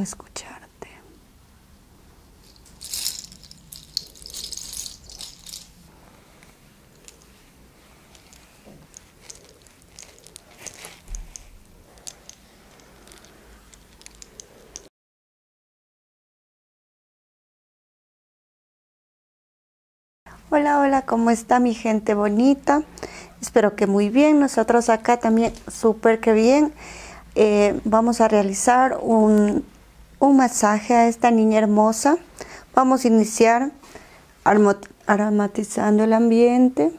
escucharte. Hola, hola, ¿cómo está mi gente bonita? Espero que muy bien. Nosotros acá también súper que bien eh, vamos a realizar un, un, masaje a esta niña hermosa. Vamos a iniciar aromatizando el ambiente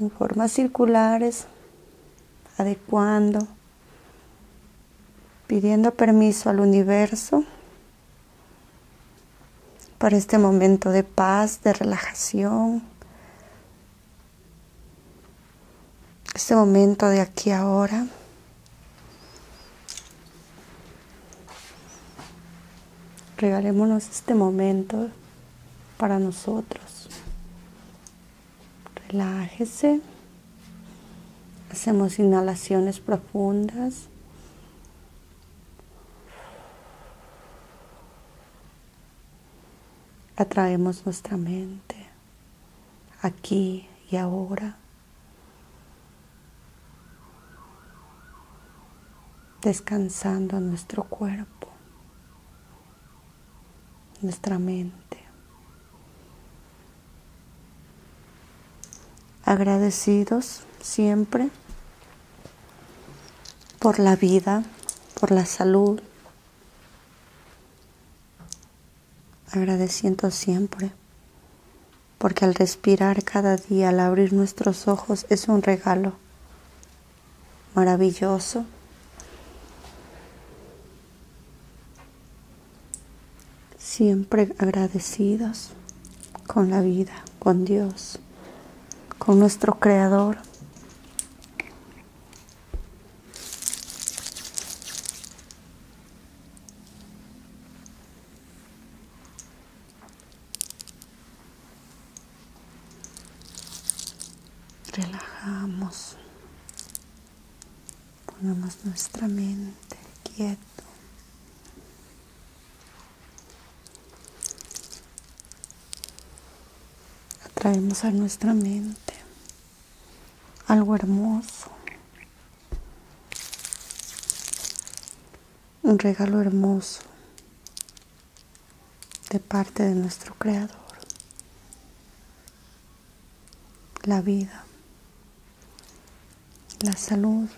en formas circulares, adecuando, pidiendo permiso al universo para este momento de paz, de relajación, este momento de aquí ahora. Regalémonos este momento para nosotros. Relájese. Hacemos inhalaciones profundas. Atraemos nuestra mente aquí y ahora. Descansando nuestro cuerpo, nuestra mente. Agradecidos siempre por la vida, por la salud, agradeciendo siempre, porque al respirar cada día, al abrir nuestros ojos, es un regalo maravilloso. Siempre agradecidos con la vida, con Dios, con nuestro Creador, Relajamos, ponemos nuestra mente quieto Atraemos a nuestra mente algo hermoso, un regalo hermoso de parte de nuestro Creador, la vida, la salud,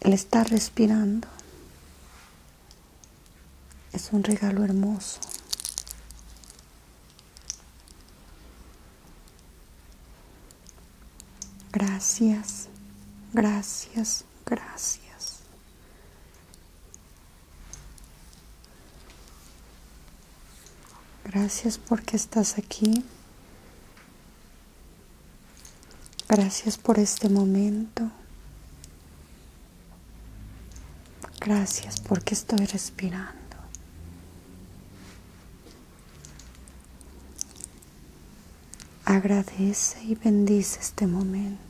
el estar respirando es un regalo hermoso. Gracias, gracias, gracias. Gracias porque estás aquí. Gracias por este momento. Gracias porque estoy respirando. Agradece y bendice este momento.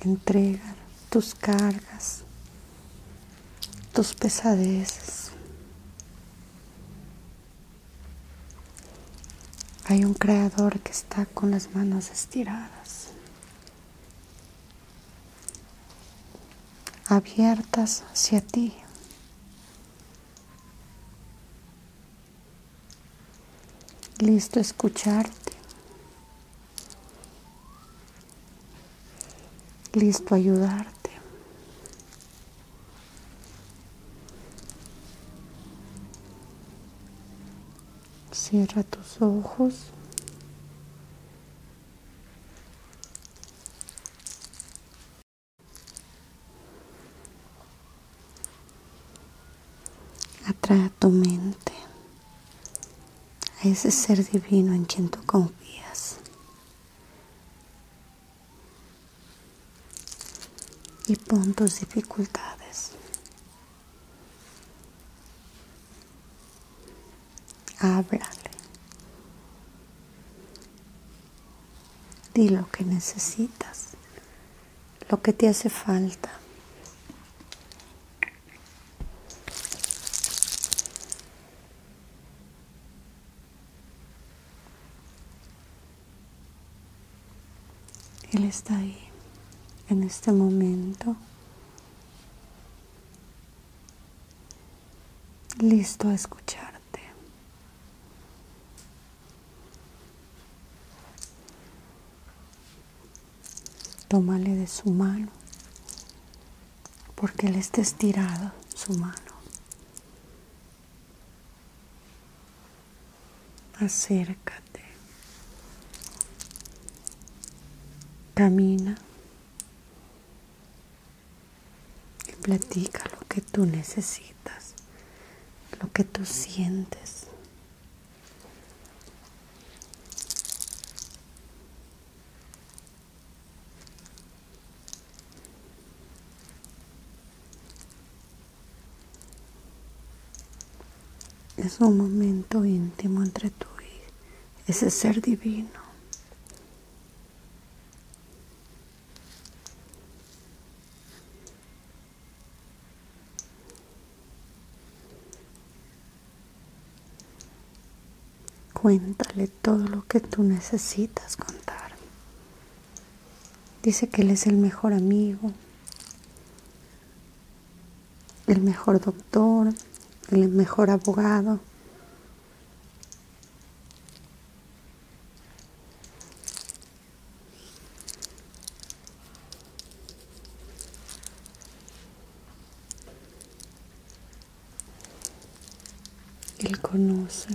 Entrega tus cargas tus pesadeces. Hay un creador que está con las manos estiradas, abiertas hacia ti. Listo escucharte, listo ayudarte. Cierra tus ojos. Atrae tu mente a ese ser divino en quien tú confías. Y puntos dificultades. ábrale Di lo que necesitas, lo que te hace falta. Él está ahí en este momento, listo a escucharte. Tómale de su mano, porque le está estirado su mano. Acércate. Camina. Y platica lo que tú necesitas, lo que tú sientes. Es un momento íntimo entre tú y ese ser divino. Cuéntale todo lo que tú necesitas contar. Dice que él es el mejor amigo, el mejor doctor, el mejor abogado. Él conoce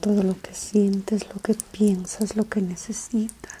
todo lo que sientes, lo que piensas, lo que necesitas.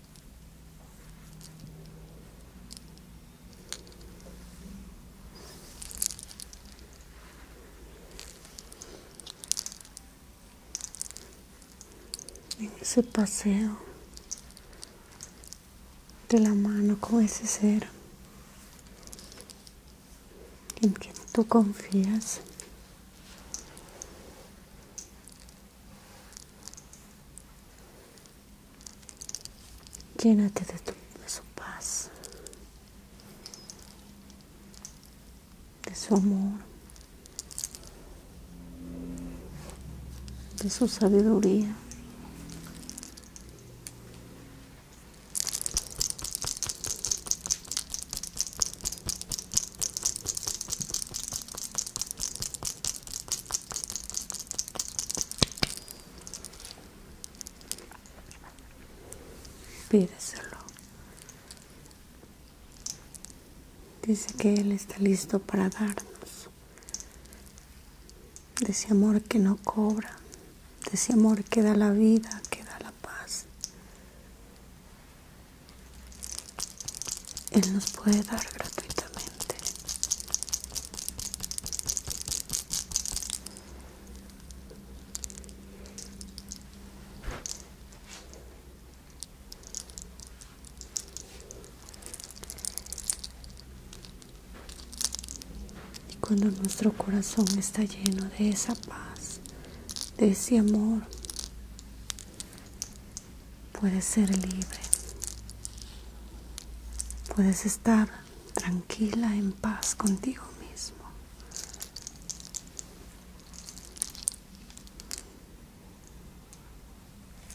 en ese paseo de la mano con ese ser en quien tú confías Llénate de, tu, de su paz, de su amor, de su sabiduría. Pídeselo. Dice que Él está listo para darnos. De ese amor que no cobra. De ese amor que da la vida, que da la paz. Él nos puede dar gratuitamente. Y cuando nuestro corazón está lleno de esa paz, de ese amor, Puedes ser libre. Puedes estar tranquila, en paz contigo mismo.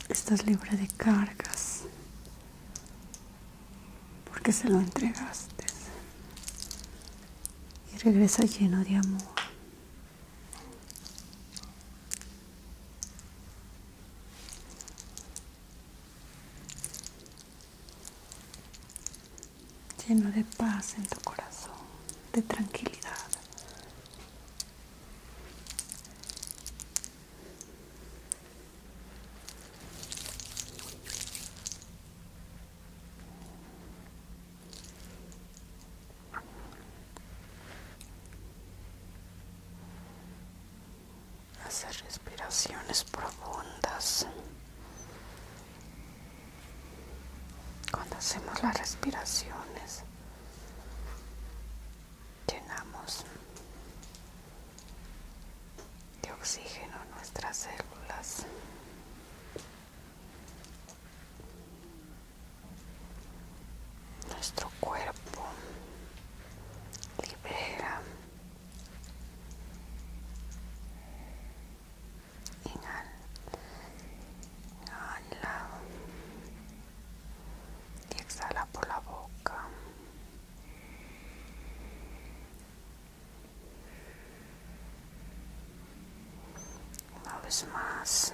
Estás libre de cargas porque se lo entregaste y regresa lleno de amor lleno de paz en tu corazón, de tranquilidad hacer respiraciones profundas cuando hacemos las respiraciones llenamos de oxígeno nuestras células nuestro cuerpo libera inhala y exhala por la boca una vez más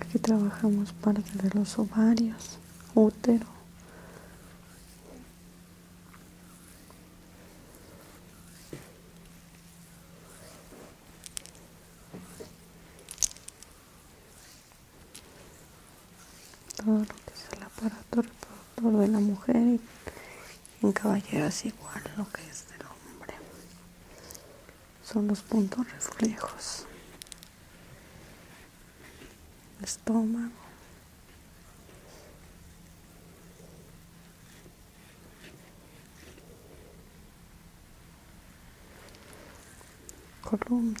Aquí trabajamos parte de los ovarios, útero todo lo que es el aparato reproductor de la mujer y en es igual lo que es del hombre son los puntos reflejos estómago columna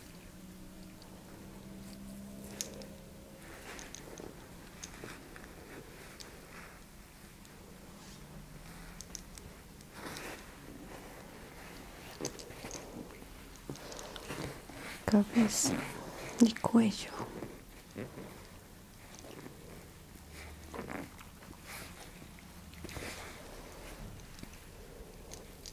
cabeza y cuello.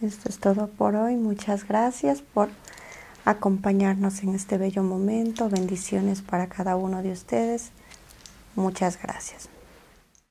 Esto es todo por hoy. Muchas gracias por acompañarnos en este bello momento. Bendiciones para cada uno de ustedes. Muchas gracias.